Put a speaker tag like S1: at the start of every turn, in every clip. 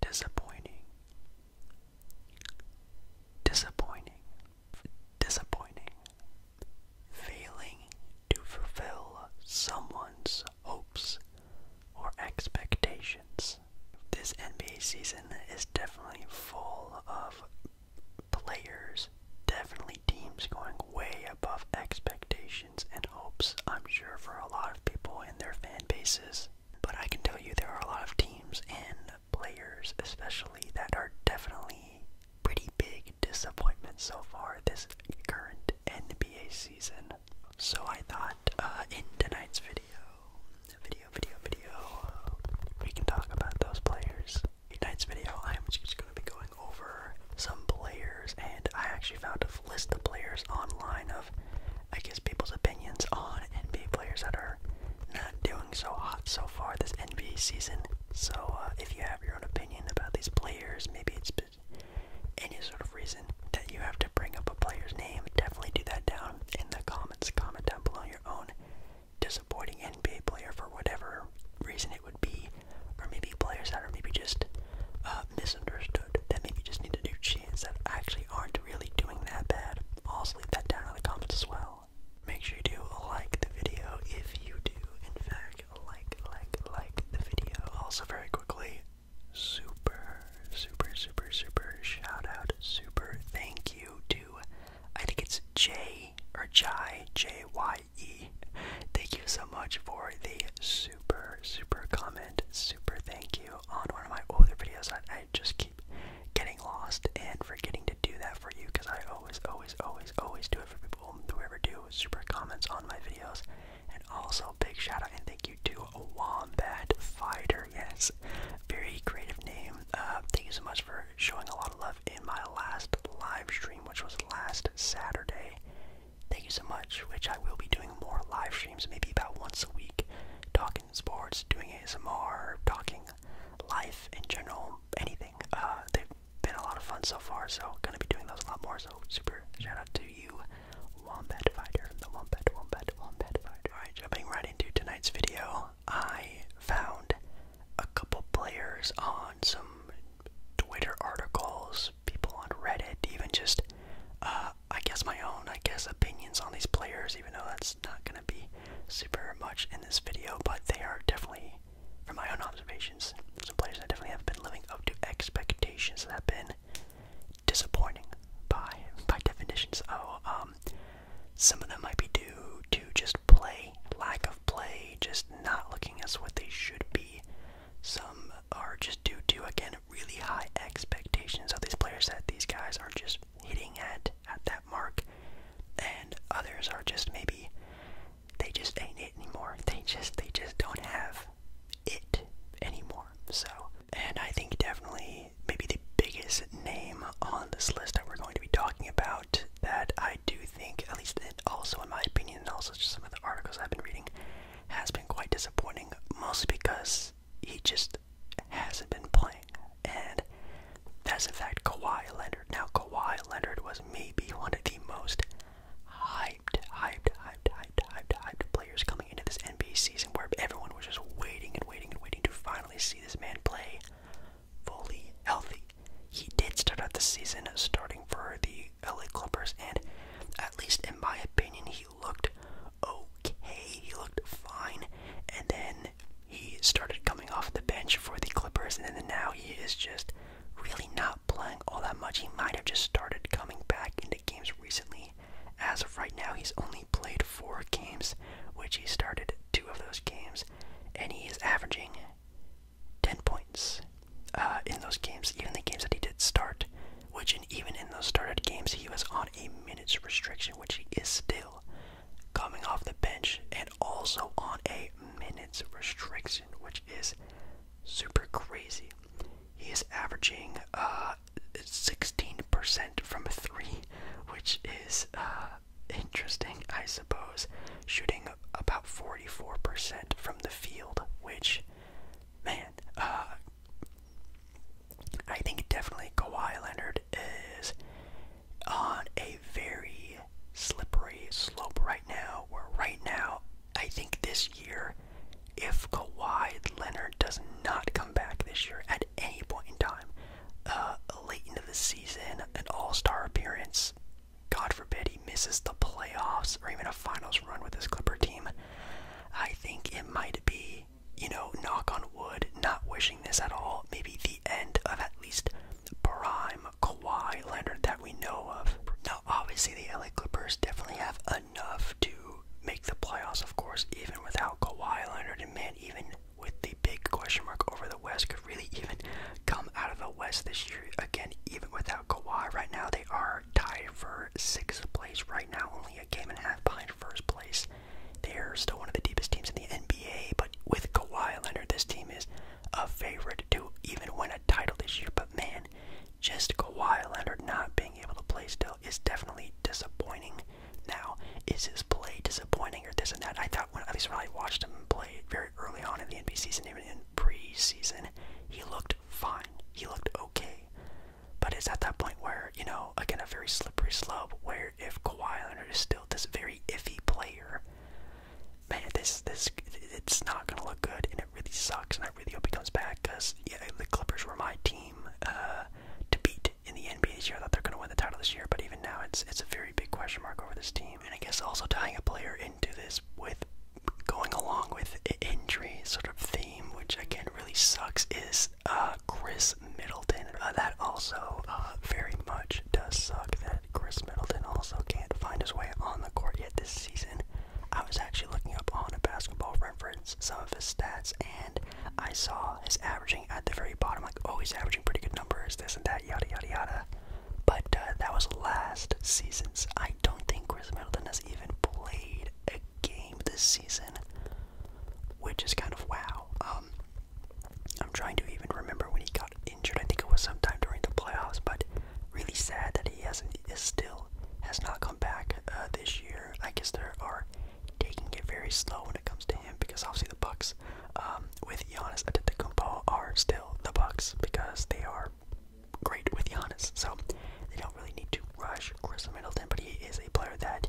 S1: disappointing disappointing disappointing failing to fulfill someone's hopes or expectations this nba season is definitely full of players definitely teams going way above expectations and hopes i'm sure for a lot of people in their fan bases but I can tell you there are a lot of teams and players, especially, that are definitely pretty big disappointments so far this current NBA season. So I thought uh, in tonight's video, video, video, video, we can talk about those players. tonight's video, I'm just going to be going over some players, and I actually found a stuff, list the players online of, I guess, people's opinions on NBA players that are not doing so hot so far this NBA season. So uh, if you have your own opinion about these players, maybe it's any sort of reason that you have to bring up a player's name, definitely do that down in the comments. Comment down below your own disappointing NBA player for whatever reason it would be, or maybe players that are maybe just uh, misunderstood, that maybe just need to do machines that actually aren't really doing that bad. Also leave that down in the comments as well. Make sure you do like the video if you do, in fact, like, like, like the video. Also very quickly, super, super, super, super shout out, super thank you to, I think it's J, or Jai, J-Y-E. Thank you so much for the super, super comment, super thank you on one of my older videos. I, just keep getting lost and forgetting to do that for you because I always, always, always, always do it for people whoever do super comments on my videos. And also, big shout out and thank you to Wombat Fighter. Yes, very creative name. Uh, thank you so much for showing a lot of love in my last live stream, which was last Saturday. Thank you so much, which I will be doing more live maybe about once a week, talking sports, doing ASMR, talking life in general, anything. Uh, they've been a lot of fun so far, so gonna be doing those a lot more. So super shout out to you, Wombat Fighter, the Wombat, Wombat, Wombat Fighter. All right, jumping right into tonight's video, I found a couple players on some Twitter articles, people on Reddit, even just uh, I guess my own, I guess, opinions on these players, even though that's not gonna be super much in this video, but they are definitely, from my own observations, some players that definitely have been living up to expectations that have been disappointing by by definition. So oh, um some of them might be due to just play, lack of play, just not looking as what they should be. Some are just due to again really high expectations of these players that these guys are just hitting at at that mark, and others are just maybe they just ain't it anymore. They just they just don't have it anymore. So, and I think definitely maybe the biggest name on this list that we're going to be talking about that I do think at least it also in my opinion and also just some of the articles I've been reading has been quite disappointing mostly because he just hasn't been playing. And that's in fact Kawhi Leonard. Now Kawhi Leonard was maybe one of the most hyped, hyped, hyped, hyped, hyped, hyped players coming into this NBA season where everyone was just waiting and waiting and waiting to finally see this man play fully healthy. He did start out the season starting for the LA Clippers and at least in my opinion he looked okay. He looked fine. And then he started coming off the bench for the Clippers, and then now he is just really not playing all that much. He might have just started coming back into games recently. As of right now, he's only played four games, which he started two of those games, and he is averaging 10 points uh, in those games, even the games that he did start which and even in those started games he was on a minutes restriction, which he is still coming off the bench and also on a minutes restriction, which is super crazy. He is averaging uh 16% from three, which is uh interesting, I suppose. Shooting about 44% from the field, which man, uh I think definitely Kawhi Leonard is on a very slippery slope right now. Where right now, I think this year, if Kawhi Leonard does not come back this year at any point in time, uh, late into the season, an All Star appearance, God forbid he misses the playoffs or even a finals run with his Clipper team, I think it might be you know, knock on wood, not wishing this at all, maybe the end of at least prime Kawhi Leonard that we know of. Now, obviously, the LA Clippers definitely have enough to make the playoffs, of course, even without Kawhi Leonard. And man, even with the big question mark over the West, could really even come out of the West this year. Again, even without Kawhi right now, they are tied for sixth place right now, only a game and a half behind first place. They're still one of the deepest teams in the NBA, but with Kawhi Leonard, this team is a favorite to even win a title this year. But man, just Kawhi Leonard not being able to play still is definitely disappointing. Now, is his play disappointing or this and that? I thought when at least when I watched him play very early on in the NBA season, even in preseason, he looked fine. He looked okay. But it's at that point where, you know, again, a very slippery slope where if Kawhi Leonard is still this very iffy player, man, this, this, it's not going to look good, and it really sucks, and I really hope he comes back, because, yeah, the Clippers were my team uh, to beat in the NBA this year. I thought they're going to win the title this year, but even now, it's, it's a very big question mark over this team. And I guess also tying a player into this with going along with injury sort of which I can't really sucks, is uh, Chris Middleton. Uh, that also uh, very much does suck that Chris Middleton also can't find his way on the court yet this season. I was actually looking up on a basketball reference some of his stats, and I saw he's averaging at the very bottom, like, oh, he's averaging pretty good numbers, this and that, yada yada yada. But that was last season's. I don't think Chris Middleton has even played a game this season, which is kind of wow. Um, I'm trying to even remember when he got injured. I think it was sometime during the playoffs, but really sad that he hasn't is still has not come back uh, this year. I guess they are taking it very slow when it comes to him because obviously the Bucks um, with Giannis Antetokounmpo are still the Bucks because they are great with Giannis, so they don't really need to rush Chris Middleton, but he is a player that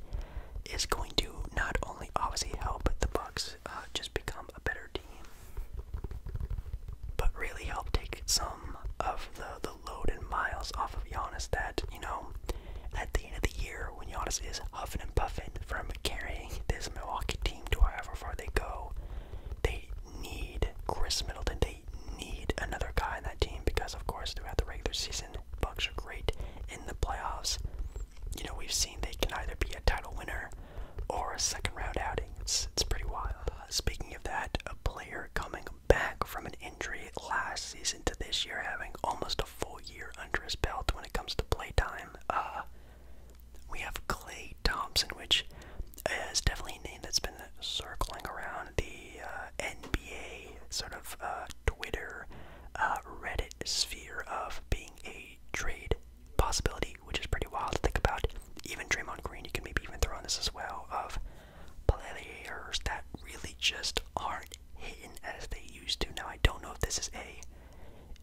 S1: is going to not only obviously help the Bucks uh, just become a better team, but really help take some of the the load and miles off of Giannis. That you know, at the end of the year, when Giannis is huffing and puffing from carrying this Milwaukee team to however far they go, they need Chris Middleton. They need another guy in that team because, of course, throughout the regular season, Bucks are great. In the playoffs, you know, we've seen they can either be a title winner or a second round outing. It's, it's pretty wild. Uh, speaking of that, a player coming back from an injury last season to this year, having almost a full year under his belt when it comes to play time. Uh, we have Clay Thompson, which is definitely a name that's been circling around the uh, NBA sort of uh, Twitter, uh, Reddit sphere of being a trade possibility, which is pretty wild to think about. Even Draymond Green, you can maybe even throw on this as well, of players that really just aren't hitting as they used to. Now, I don't know if this is a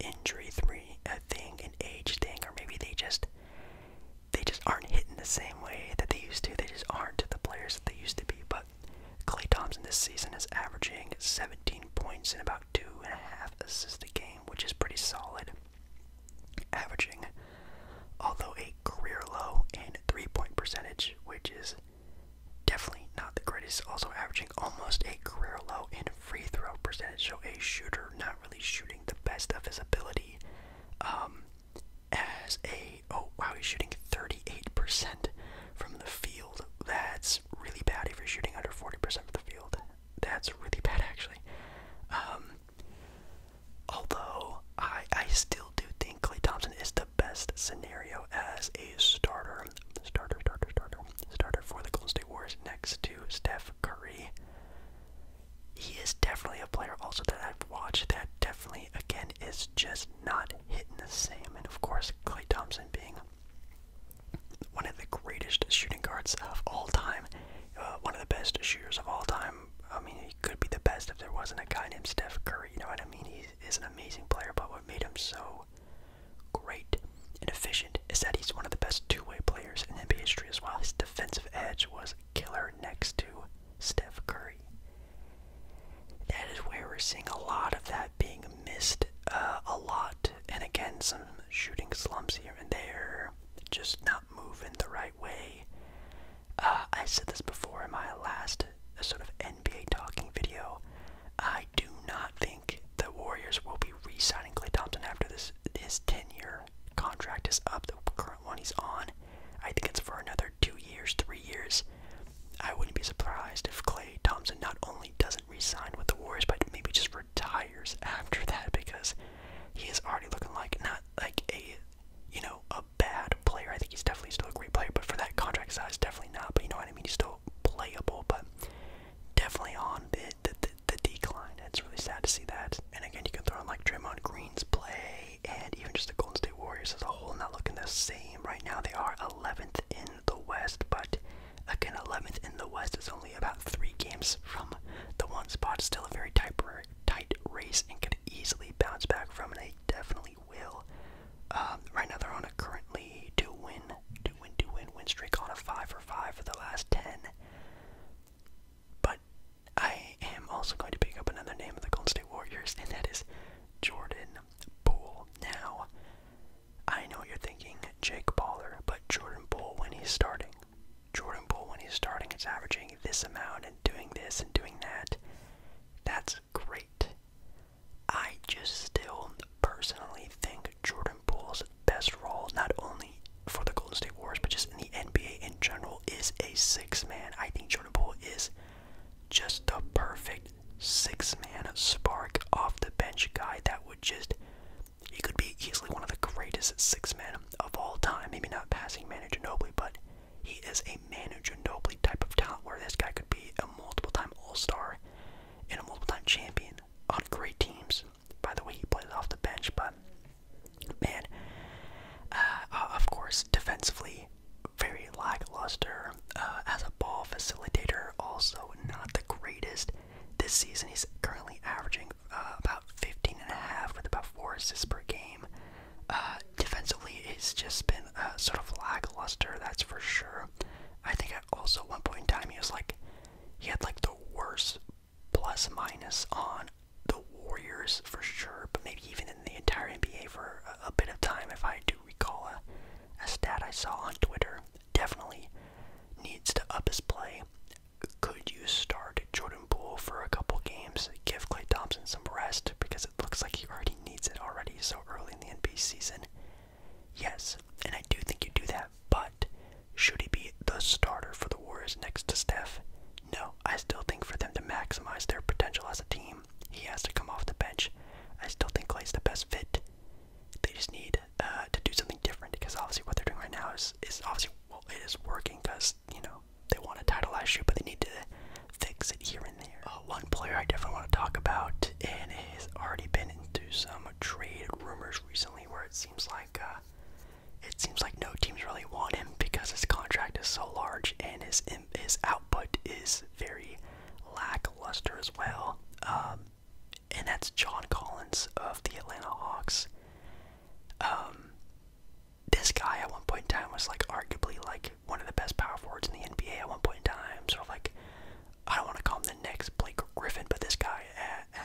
S1: injury three a uh, thing, an age thing, or maybe they just they just aren't hitting the same way that they used to. They just aren't the players they used to be, but Clay Thompson this season is averaging 17 points in about two and a half assists a game, which is pretty solid. Averaging, although a career low in three-point percentage, which is definitely not the greatest. Also averaging almost a career low in free throw percentage, so a shooter not really shooting the best of his ability. Um, as a oh wow he's shooting 38% from the field that's really bad if you're shooting under 40% from the field that's really bad actually um although i i still do think clay thompson is the best scenario as a starter starter starter starter starter for the golden state warriors next to steph curry he is definitely a player also that I've watched that again, is just not hitting the same. And of course, Clay Thompson being one of the greatest shooting guards of all time, uh, one of the best shooters of all time. I mean, he could be the best if there wasn't a guy named Steph Curry. You know what I mean? He is an amazing player, but what made him so great and efficient is that he's one of the best two-way players in NBA history as well. His defensive edge was killer next to Steph Curry. That is where we're seeing a lot of that being missed uh, a lot. And again, some shooting slumps here and there, just not moving the right way. Uh, I said this before in my last uh, sort of NBA talking video. I do not think the Warriors will be re signing Clay Thompson after this his 10 year contract is up, the current one he's on. I think it's for another two years, three years, I wouldn't be surprised if Clay Thompson not only doesn't resign with the Warriors, but maybe just retires after that because he is already looking like not like a you know a bad player. I think he's definitely still a great player, but for that contract size, definitely not. But you know what I mean? He's still playable, but definitely on the the, the, the decline. It's really sad to see that. And again, you can throw in like Draymond Green's play and even just the Golden State Warriors as a whole not looking the same. Right now, they are 11th in the West, but again, 11th in the West is only about three games from the one spot. Still a very tight, tight race and could easily bounce back from, and they definitely will. Um, right now, they're on a currently do win, do win, do win, win streak on a 5 for 5 for the last 10. But I am also going to pick up another name of the Golden State Warriors, and that is Jordan Poole. Now, I know you're thinking Jake Baller, but Jordan Poole, when he's starting, Jordan Poole, when he's starting, is averaging this amount and doing this and doing that. That's great. I just still personally think Jordan Poole's best role, not only for the Golden State Warriors, but just in the NBA in general, is a six man. I think Jordan Poole is just a perfect six-man spark off the bench guy that would just he could be easily one of the greatest six man of all time. Maybe not passing manager Nobly, but he is a manager Nobly type of talent where this guy could be a multiple-time all-star and a multiple-time champion on great teams. By the way, he plays off the bench, but man, uh, of course, defensively, very lackluster uh, as a ball facilitator, also not the greatest. This season, he's currently averaging uh, about 15 and a half with about four assists per game. Uh, defensively, it's just been uh, sort of lackluster, that's for sure. I think at also one point in time, he was like, he had like the worst plus minus on the Warriors for sure, but maybe even in the entire NBA for a, bit of time, if I do recall a, stat I saw on Twitter. Definitely needs to up his play. Could you start Jordan Poole for a couple games? Give Clay Thompson some rest because it looks like he already needs it already so early in the NBA season. Yes, and I do think you do that, but should he be the starter for the Warriors next to Steph? No, I still think for them to maximize their potential as a team, he has to come off the bench. I still think Clay's the best fit. They just need uh, to do something different because obviously what they're doing right now is is obviously well it is working because you know they want a title last year, but they need to fix it here and there. Uh, one player I definitely want to talk about and has already been into some trade rumors recently, where it seems like. Uh, it seems like no teams really want him because his contract is so large and his his output is very lackluster as well. Um, and that's John Collins of the Atlanta Hawks. Um, this guy at one point in time was like arguably like one of the best power forwards in the NBA at one point in time. Sort of like I don't want to call him the next Blake Griffin, but this guy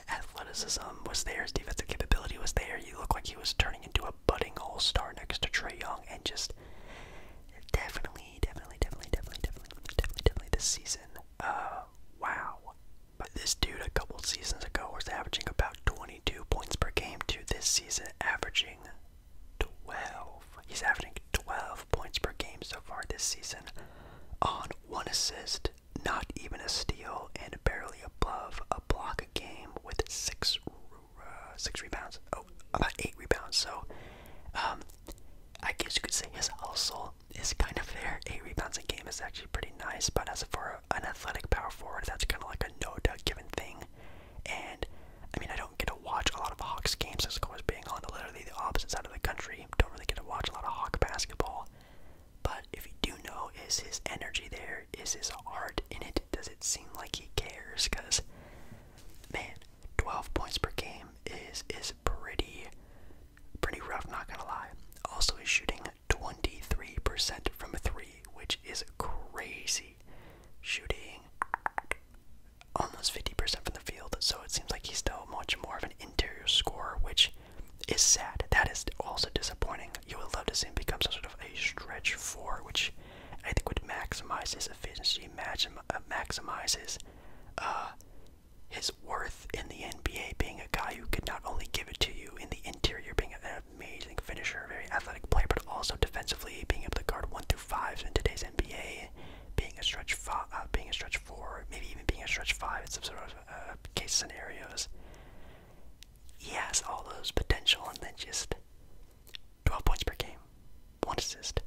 S1: athleticism was there, his defensive capability was there. He looked like he was turning into a budding all star next to Trey Young and just definitely, definitely, definitely, definitely, definitely, definitely, definitely this season. Uh, wow. But this dude a couple seasons ago was averaging about 22 points per game to this season averaging 12. He's averaging 12 points per game so far this season on one assist, not even a steal, and barely above a block a game with six uh, six rebounds. Oh, about eight rebounds. So, um, I guess you could say his hustle is kind of there. Eight rebounds a game is actually pretty nice. But as for an athletic power forward, that's kind of like a no doubt given thing. And I mean, I don't get to watch a lot of Hawks games as always being on literally the opposite side of the country. Don't really get to watch a lot of Hawk basketball. But if you do know, is his energy there? Is his heart in it? does it seem like he cares? Because, man, 12 points per game is is pretty pretty rough, not gonna lie. Also, he's shooting 23% from three, which is crazy. Shooting almost 50% from the field, so it seems like he's still much more of an interior scorer, which is sad. That is also disappointing. You would love to see him become some sort of a stretch four, which I think would maximize his efficiency, uh, Maximizes uh, his, worth in the NBA, being a guy who could not only give it to you in the interior, being an amazing finisher, very athletic player, but also defensively being able to guard one through fives in today's NBA, being a stretch five, uh, being a stretch four, maybe even being a stretch five in some sort of case scenarios. He has all those potential, and then just 12 points per game, 1 assist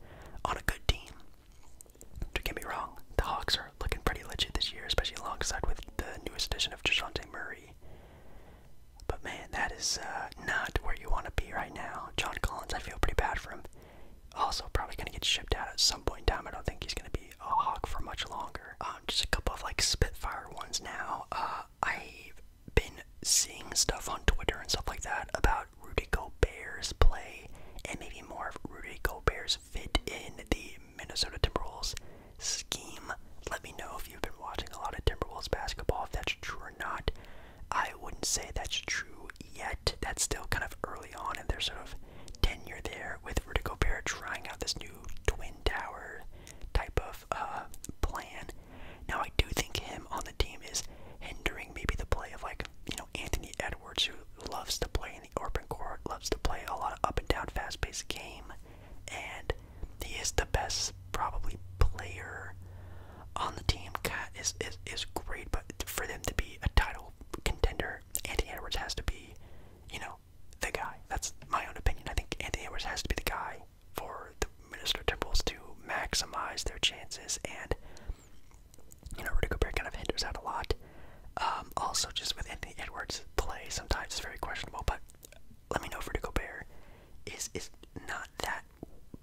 S1: on a good team. Don't get me wrong, the Hawks are looking pretty legit this year, especially alongside with the newest addition of DeJounte Murray. But man, that is uh, not where you want to be right now. John Collins, I feel pretty bad for him. Also, probably going to get shipped out at some point in time. I don't think he's going to be a Hawk for much longer. Um, just a couple of like Spitfire ones now. Uh, I been seeing stuff on Twitter and stuff like that about Rudy Gobert's play and maybe more Rudy Gobert's fit in the Minnesota Timberwolves scheme. Let me know if you've been watching a lot of Timberwolves basketball, if that's true or not. I wouldn't say that's true yet. That's still kind of early on in their sort of tenure there with Rudy Gobert trying out this new Twin Tower type of enough uh, plan. Now, I do think him on the team is hindering maybe the play of like you know Anthony Edwards, who loves to play in the open court, loves to play a lot of up and down, fast-paced game, and he is the best probably player on the team. Cat is is is great, but for them to be a title contender, Anthony Edwards has to be, you know, the guy. That's my own opinion. I think Anthony Edwards has to be the guy for the Minnesota Timberwolves to maximize their chances. And, you know, Rudy Gobert kind of hinders out a lot. Um, also, just with Anthony Edwards' play, sometimes it's very questionable. But let me know if Rudy Gobert is, is not that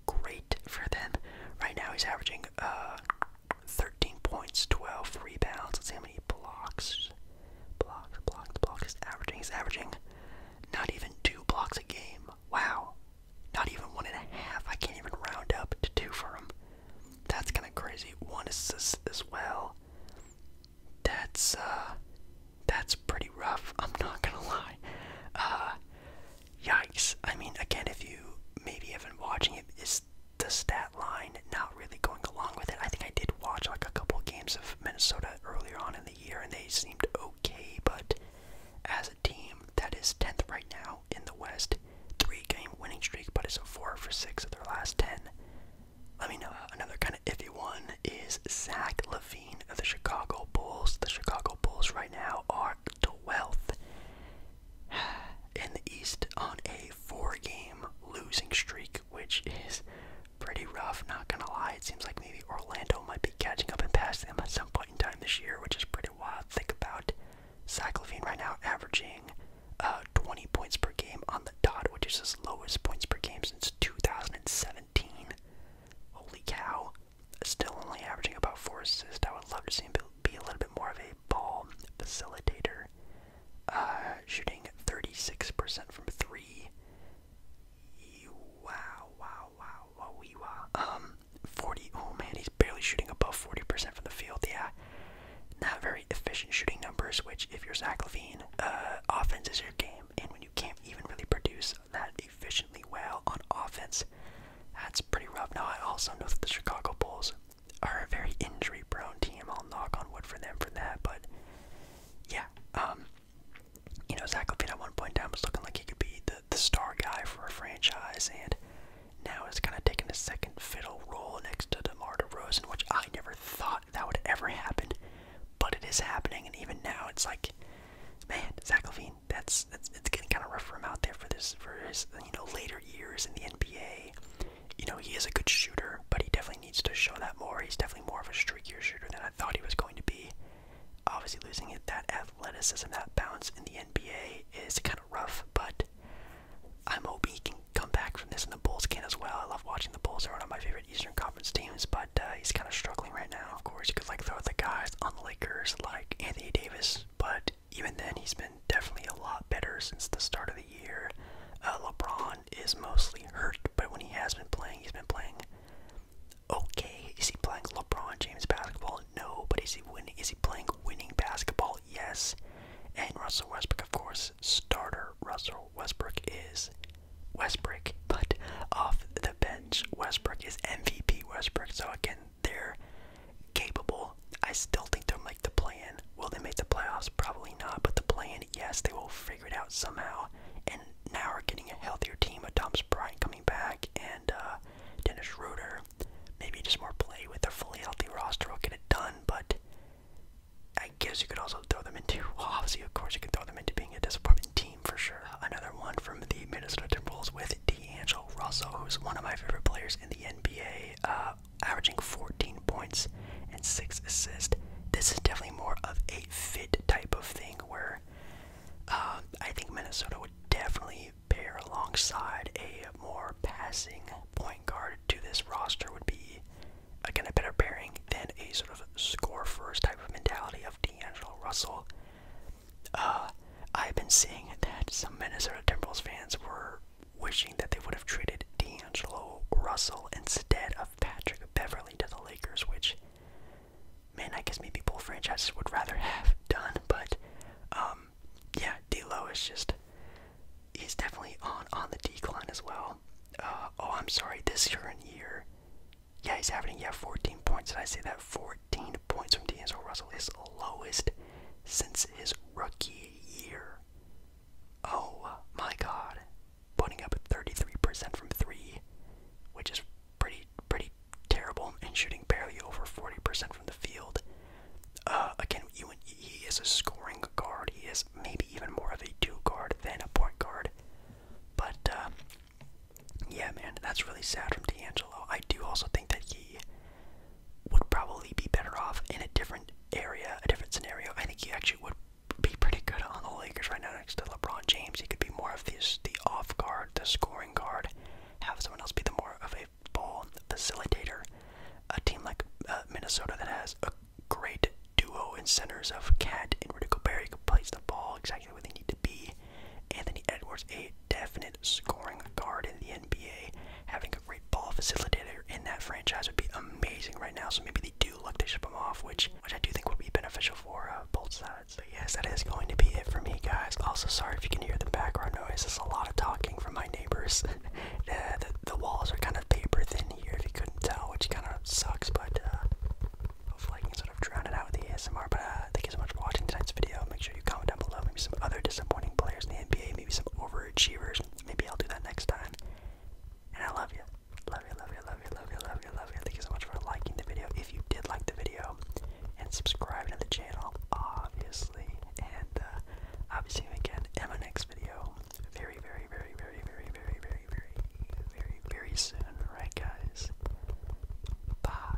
S1: great for them. Right now, he's averaging uh, 13 points, 12 rebounds. Let's see how many blocks. Blocks, blocks, blocks. He's averaging. He's averaging not even two blocks a game. Wow. Not even one and a half. I can't even round up to two for him. That's kind of crazy. One assist as well. That's uh, that's pretty rough. I'm not gonna lie. Uh, yikes. I mean, again, if you maybe have been watching it, is the stat line not really going along with it? I think I did watch like a couple games of Minnesota earlier on in the year, and they seemed okay, but as a team that is 10th right now in the West, three game winning streak, but it's a four for six of their last 10. Let me know uh, another kind of iffy one is Zach Levine of the Chicago Bulls. The Chicago Bulls right now are 12th in the East on a four game losing streak, which is pretty rough, not gonna lie. It seems like maybe Orlando might be catching up and passing them at some point in time this year, which is pretty wild. Think about Zach Levine right now averaging uh, 20 points per game on the dot, which is his lowest points per game since 2017. Holy cow. Still only averaging about 4 assists. I would love to see him be a little bit more of a ball facilitator. Uh, shooting 36% from 3. Wow, wow, wow, wow, we wow. Um, 40. Oh man, he's barely shooting above 40% from the field. Yeah, not very efficient shooting numbers. Which, if you're Zach Levine, uh, offense is your game, and when you can't even really produce that efficiently well on offense, that's pretty rough. Now, I also know that the Chicago Bulls are a very injury-prone team. I'll knock on wood for them for that, but yeah, um, you know, Zach Levine at one point down was looking like he could be the, the star guy for a franchise, and now it's kind of taken a second fiddle role next to DeMar DeRozan, which I never thought that would ever happen, but it is happening, and even now it's like, man, Zach Levine, that's, it's getting kind of rough for him out there for this for his you know later years in the NBA. You know, he is a good shooter, but he definitely needs to show that more. He's definitely more of a streaky shooter than I thought he was going to be obviously losing it, that athleticism, that bounce in the NBA is kind of rough, but I'm hoping he can come back from this, and the Bulls can as well. I love watching the Bulls; they're one of my favorite Eastern Conference teams. But uh, he's kind of struggling right now. Of course, you could like throw the guys on the Lakers like Anthony Davis, but even then, he's been definitely a lot better since the start of the year. Uh, LeBron is mostly hurt, but when he has been playing, he's been playing Okay, is he playing LeBron James basketball? No, but is he winning? Is he playing winning basketball? Yes. And Russell Westbrook, of course, starter Russell Westbrook is Westbrook, but off the bench Westbrook is MVP Westbrook. So again, they're capable. I still think they'll make the plan. in Will they make the playoffs? Probably not. But the plan, yes, they will figure it out somehow now we're getting a healthier team with Thomas Bryant coming back and uh, Dennis Schroeder. Maybe just more play with a fully healthy roster will get it done, but I guess you could also throw them into, well, obviously, of course, you could throw them into being a disappointment team for sure. Another one from the Minnesota Timberwolves with D'Angelo Russell, who's one of my favorite players in the NBA, uh, averaging 14 points and 6 assists. This is definitely more of a fit type of thing where um, I think Minnesota would definitely pair alongside a more passing point guard to this roster would be again a better pairing than a sort of score first type of mentality of D'Angelo Russell. Uh, I've been seeing that some Minnesota Timberwolves fans were wishing that they would have traded D'Angelo Russell instead of Patrick Beverly to the Lakers, which man, I guess maybe both franchises would rather have done, but um, yeah, D'Lo is just he's definitely on on the decline as well. Uh, oh, I'm sorry, this year and year, yeah, he's having yeah 14 points. Did I say that 14 points from D'Angelo Russell is lowest since his rookie year? Oh my God, putting up 33% from three, which is pretty pretty terrible, and shooting barely over 40% from the field. Uh, again, he is a scoring guard. He is maybe even more of a two guard than a point guard. But uh, yeah, man, that's really sad from D'Angelo. I do also think that he would probably be better off in a different area, a different scenario. I think he actually would be pretty good on the Lakers right now next to LeBron James. He could be more of this the off guard, the scoring guard. Have someone else be the more of a ball facilitator. A team like uh, Minnesota that has a great duo in centers of Cat and Rudy Gobert who plays the ball exactly where they need to be. Anthony Edwards, a definite scoring guard in the NBA. Having a great ball facilitator in that franchise would be amazing right now. So maybe they do look to ship him off, which which I do think would be beneficial for uh, both sides. So yes, that is going to be it for me, guys. Also, sorry if you can hear the background noise. There's a lot of talking from my neighbors. the, walls are kind of paper thin here, if you couldn't tell, which kind of sucks, but uh, hopefully I can sort of drown it out with the ASMR. But uh, thank you so much for watching tonight's video. Make sure you comment down below maybe some other disappointing players in the NBA, maybe some overachievers. Maybe I'll do that next time. And I love you. Love you, love you, love you, love you, love you, love you. Thank you so much for liking the video. If you did like the video, and subscribing to the channel, obviously. And uh, I'll be seeing you again in my next video. Very, very, very, very, very, very, very, very, very, very soon. Alright, guys? Bye.